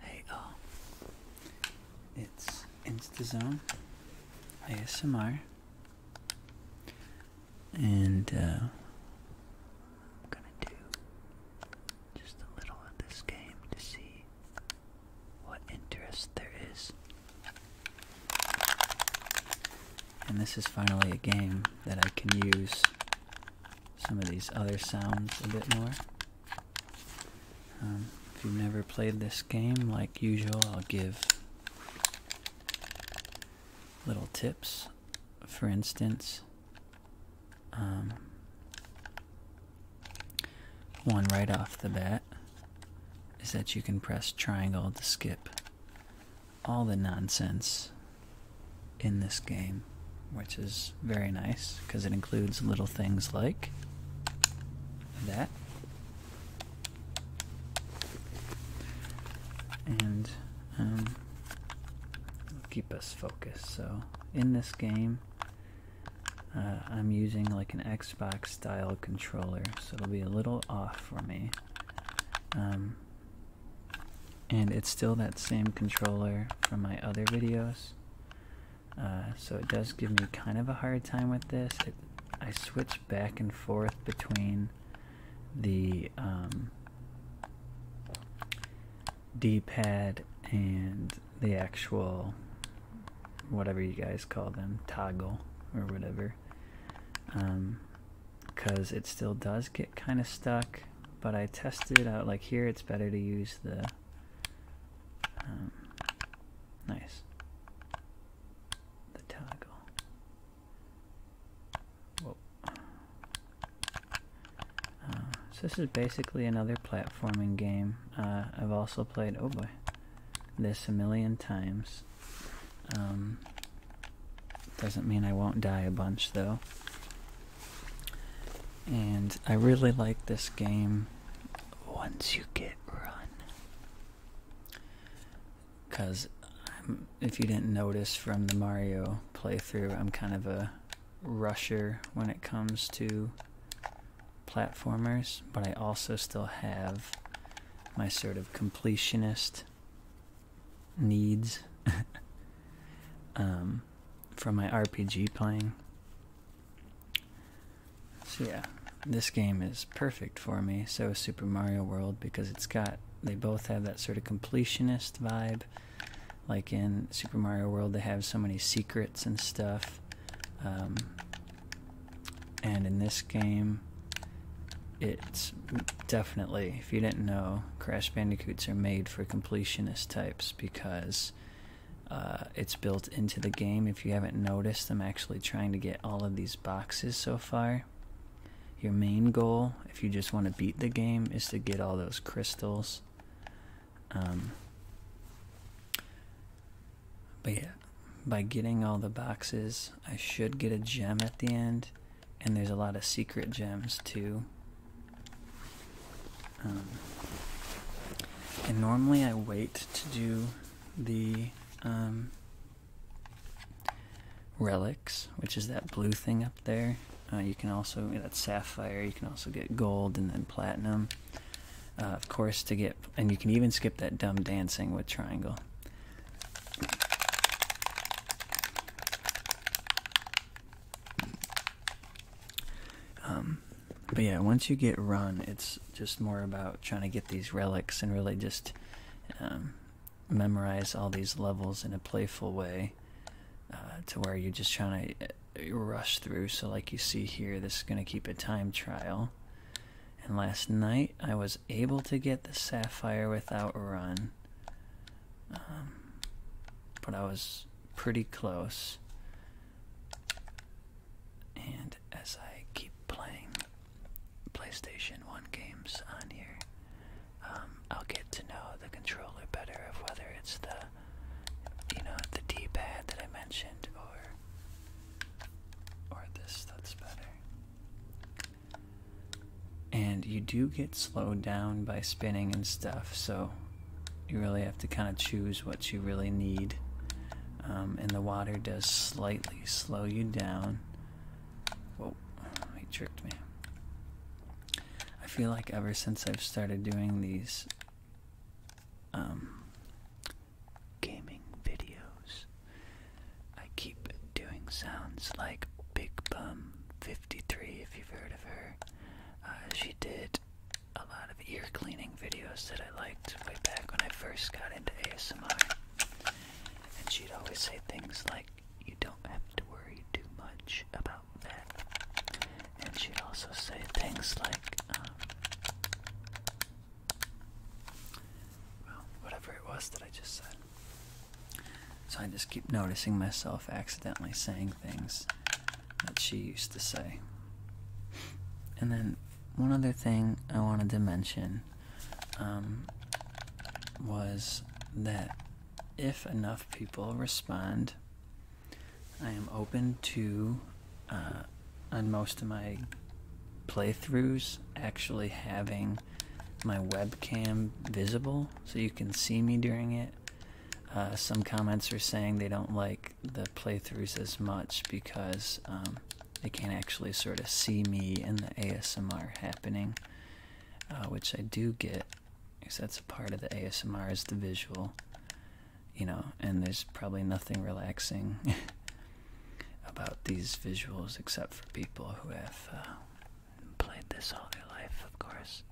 Hey, uh, it's InstaZone ASMR, and uh, I'm gonna do just a little of this game to see what interest there is. And this is finally a game that I can use some of these other sounds a bit more. Um, if you've never played this game, like usual, I'll give little tips. For instance, um, one right off the bat is that you can press triangle to skip all the nonsense in this game, which is very nice because it includes little things like that. And um, keep us focused. So, in this game, uh, I'm using like an Xbox style controller, so it'll be a little off for me. Um, and it's still that same controller from my other videos uh, so it does give me kind of a hard time with this I switch back and forth between the um, d-pad and the actual whatever you guys call them toggle or whatever because um, it still does get kind of stuck but I tested out like here it's better to use the um, nice the toggle Whoa. Uh, so this is basically another platforming game uh, I've also played oh boy this a million times um, doesn't mean I won't die a bunch though and I really like this game once you get run. Because if you didn't notice from the Mario playthrough, I'm kind of a rusher when it comes to platformers, but I also still have my sort of completionist needs. Um, from my RPG playing. So yeah, this game is perfect for me. So is Super Mario World because it's got they both have that sort of completionist vibe. Like in Super Mario World, they have so many secrets and stuff. Um, and in this game, it's definitely, if you didn't know, Crash Bandicoots are made for completionist types because uh, it's built into the game. If you haven't noticed, I'm actually trying to get all of these boxes so far. Your main goal, if you just want to beat the game, is to get all those crystals. Um, but yeah, by getting all the boxes, I should get a gem at the end. And there's a lot of secret gems too um, and normally I wait to do the um, relics, which is that blue thing up there. Uh, you can also that sapphire. You can also get gold and then platinum. Uh, of course, to get and you can even skip that dumb dancing with triangle. Um, but yeah, once you get run, it's just more about trying to get these relics and really just um, memorize all these levels in a playful way uh, to where you're just trying to uh, rush through. So, like you see here, this is going to keep a time trial. And last night, I was able to get the sapphire without run. Um, but I was pretty close. And as I keep playing PlayStation 1 games on here, um, I'll get to know the controller better of whether it's the, you know, the D-pad that I mentioned or, or this that's better. And you do get slowed down by spinning and stuff, so you really have to kind of choose what you really need. Um, and the water does slightly slow you down. Whoa, he tricked me. I feel like ever since I've started doing these um, gaming videos, I keep doing sounds like Big Bum 53, if you've heard of her. Uh, she did a lot of ear cleaning videos that I liked way back when I first got into ASMR. And she'd always say things like, you don't have to worry too much about that. And she'd also say things like, um, well, whatever it was that I just said. So I just keep noticing myself accidentally saying things that she used to say. And then one other thing I wanted to mention um, was that if enough people respond, I am open to, uh, on most of my playthroughs, actually having my webcam visible so you can see me during it uh, some comments are saying they don't like the playthroughs as much because um, they can't actually sort of see me and the ASMR happening, uh, which I do get because that's a part of the ASMR is the visual, you know, and there's probably nothing relaxing about these visuals except for people who have uh, played this all their life, of course.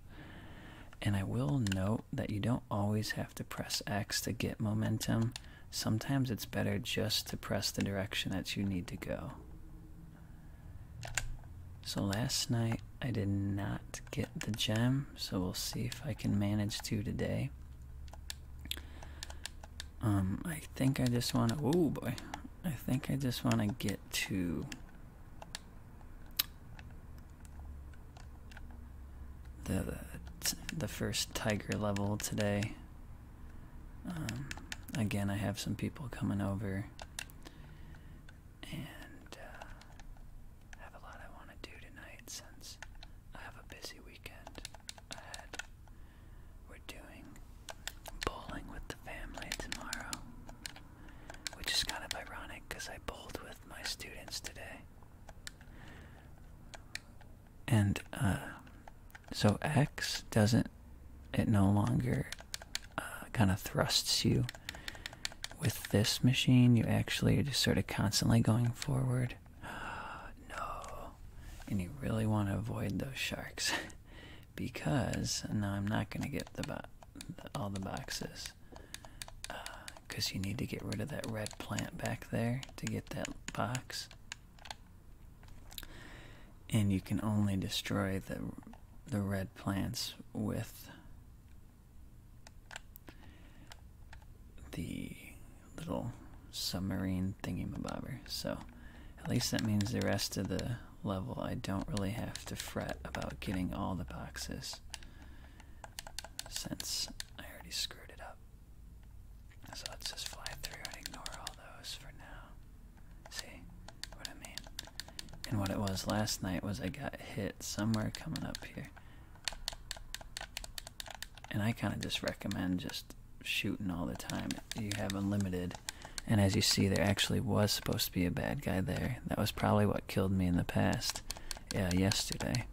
And I will note that you don't always have to press X to get momentum. Sometimes it's better just to press the direction that you need to go. So last night I did not get the gem, so we'll see if I can manage to today. Um, I think I just want to, oh boy, I think I just want to get to the the first tiger level today. Um, again, I have some people coming over, and uh, have a lot I want to do tonight since I have a busy weekend ahead. We're doing bowling with the family tomorrow, which is kind of ironic because I bowled with my students today. And uh, so X doesn't, it no longer uh, kind of thrusts you with this machine. You actually are just sort of constantly going forward. no. And you really want to avoid those sharks because now I'm not going to get the all the boxes because you need to get rid of that red plant back there to get that box. And you can only destroy the the red plants with the little submarine thingy thingamabobber. So at least that means the rest of the level I don't really have to fret about getting all the boxes since I already screwed it up. So let's just fly through and ignore all those for now. See what I mean? And what it was last night was I got hit somewhere coming up here. And I kind of just recommend just shooting all the time. You have unlimited. And as you see, there actually was supposed to be a bad guy there. That was probably what killed me in the past. Yeah, yesterday.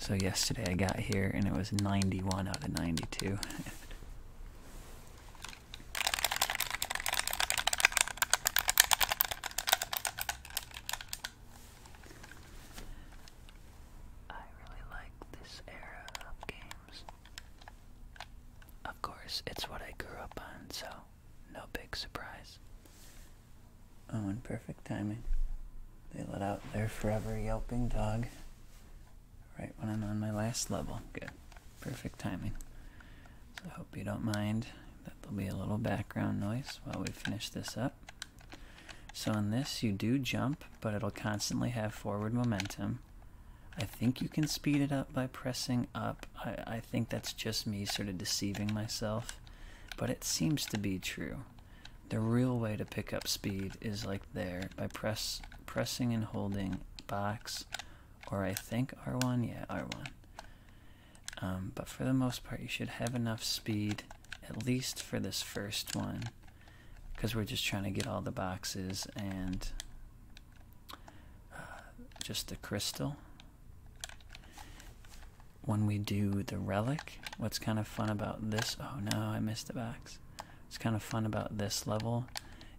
so yesterday I got here and it was 91 out of 92. I really like this era of games. Of course, it's what I grew up on, so no big surprise. Oh, in perfect timing, they let out their forever yelping dog right when I'm on my last level. Good. Perfect timing. So I hope you don't mind that there'll be a little background noise while we finish this up. So on this, you do jump, but it'll constantly have forward momentum. I think you can speed it up by pressing up. I, I I think that's just me sort of deceiving myself, but it seems to be true. The real way to pick up speed is like there by press pressing and holding box, or I think R1, yeah, R1. Um, but for the most part, you should have enough speed, at least for this first one, because we're just trying to get all the boxes and uh, just the crystal when we do the relic, what's kind of fun about this, oh no, I missed the box. What's kind of fun about this level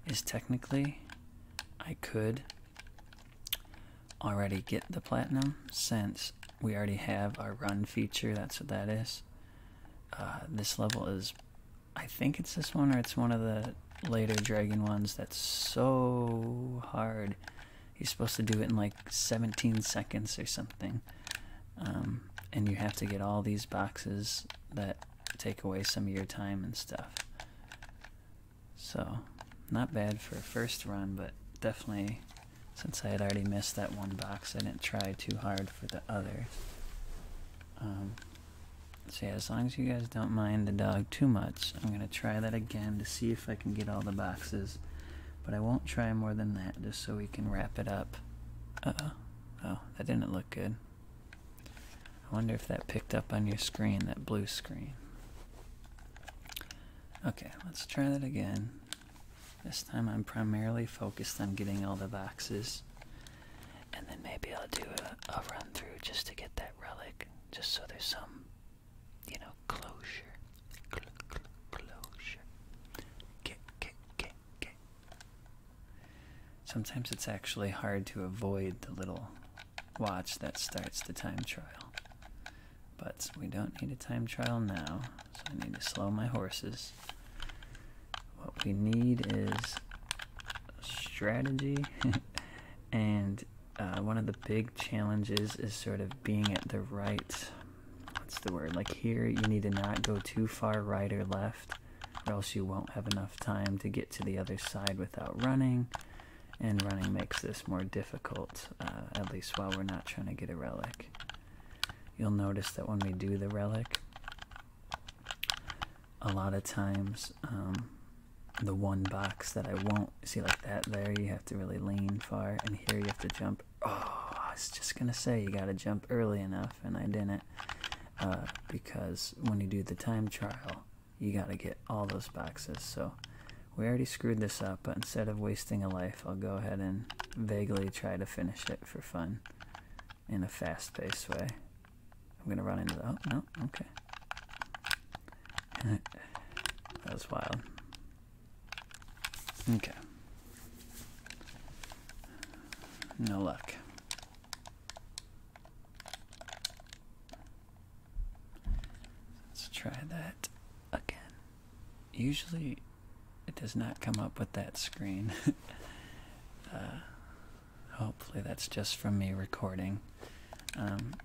is technically I could already get the platinum since we already have our run feature, that's what that is. Uh, this level is, I think it's this one or it's one of the later dragon ones that's so hard you're supposed to do it in like 17 seconds or something. Um, and you have to get all these boxes that take away some of your time and stuff. So, not bad for a first run, but definitely, since I had already missed that one box, I didn't try too hard for the other. Um, so yeah, as long as you guys don't mind the uh, dog too much. I'm going to try that again to see if I can get all the boxes. But I won't try more than that just so we can wrap it up. oh that didn't look good. I wonder if that picked up on your screen, that blue screen. Okay, let's try that again. This time I'm primarily focused on getting all the boxes. And then maybe I'll do a run through just to get that relic, just so there's some you know, closure, closure. Get, get, get, get. Sometimes it's actually hard to avoid the little watch that starts the time trial. But we don't need a time trial now, so I need to slow my horses. What we need is strategy and uh, one of the big challenges is sort of being at the right. What's the word? Like here, you need to not go too far right or left, or else you won't have enough time to get to the other side without running. And running makes this more difficult, uh, at least while we're not trying to get a relic. You'll notice that when we do the relic, a lot of times um, the one box that I won't see like that there you have to really lean far and here you have to jump oh I was just gonna say you gotta jump early enough and I didn't uh, because when you do the time trial you gotta get all those boxes so we already screwed this up but instead of wasting a life I'll go ahead and vaguely try to finish it for fun in a fast-paced way I'm gonna run into the oh no okay that was wild Okay. No luck. Let's try that again. Usually it does not come up with that screen. Uh, hopefully that's just from me recording um,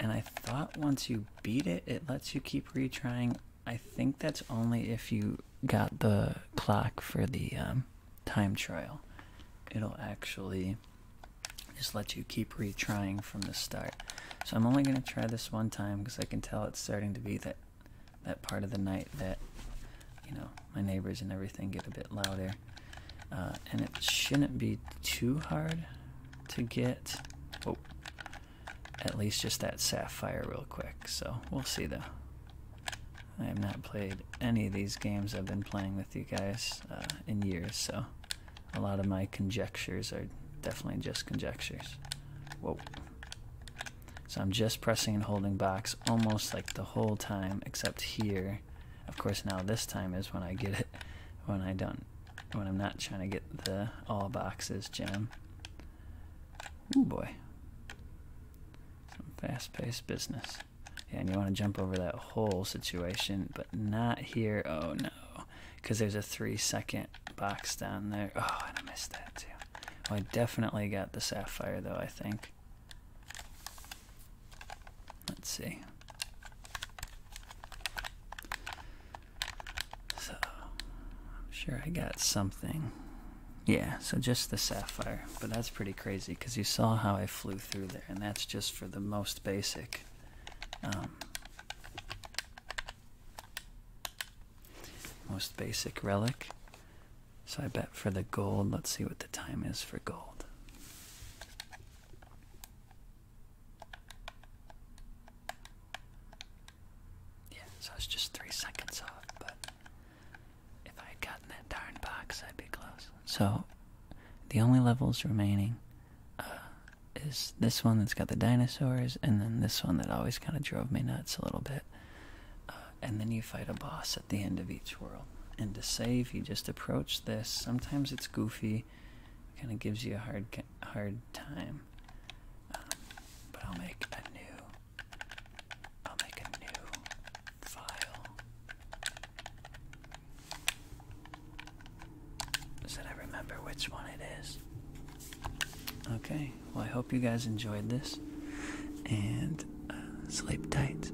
and I thought once you beat it, it lets you keep retrying. I think that's only if you got the clock for the um, time trial. It'll actually just let you keep retrying from the start. So I'm only going to try this one time because I can tell it's starting to be that that part of the night that you know my neighbors and everything get a bit louder. Uh, and it shouldn't be too hard to get. Oh, at least just that sapphire real quick. So we'll see though. I have not played any of these games I've been playing with you guys uh, in years, so a lot of my conjectures are definitely just conjectures. Whoa. So I'm just pressing and holding box almost like the whole time, except here. Of course, now this time is when I get it, when I don't when I'm not trying to get the all boxes gem. oh boy. Some fast paced business. Yeah, and you want to jump over that whole situation, but not here. Oh no. Because there's a three second box down there. Oh, and I missed that too. Oh, I definitely got the sapphire though, I think. Let's see. So, I'm sure I got something. Yeah, so just the sapphire. But that's pretty crazy because you saw how I flew through there, and that's just for the most basic. Um, most basic relic. So I bet for the gold, let's see what the time is for gold. Yeah, so it's just three seconds off, but if I had gotten that darn box, I'd be close. So, the only levels remaining uh, is this one that's got the dinosaurs, and then this one that always kind of drove me nuts a little bit. Uh, and then you fight a boss at the end of each world. And to save, you just approach this. Sometimes it's goofy, kind of gives you a hard hard time. Um, but I'll make a new I'll make a new file. So that I remember which one it is. Okay, well, I hope you guys enjoyed this and uh, sleep tight.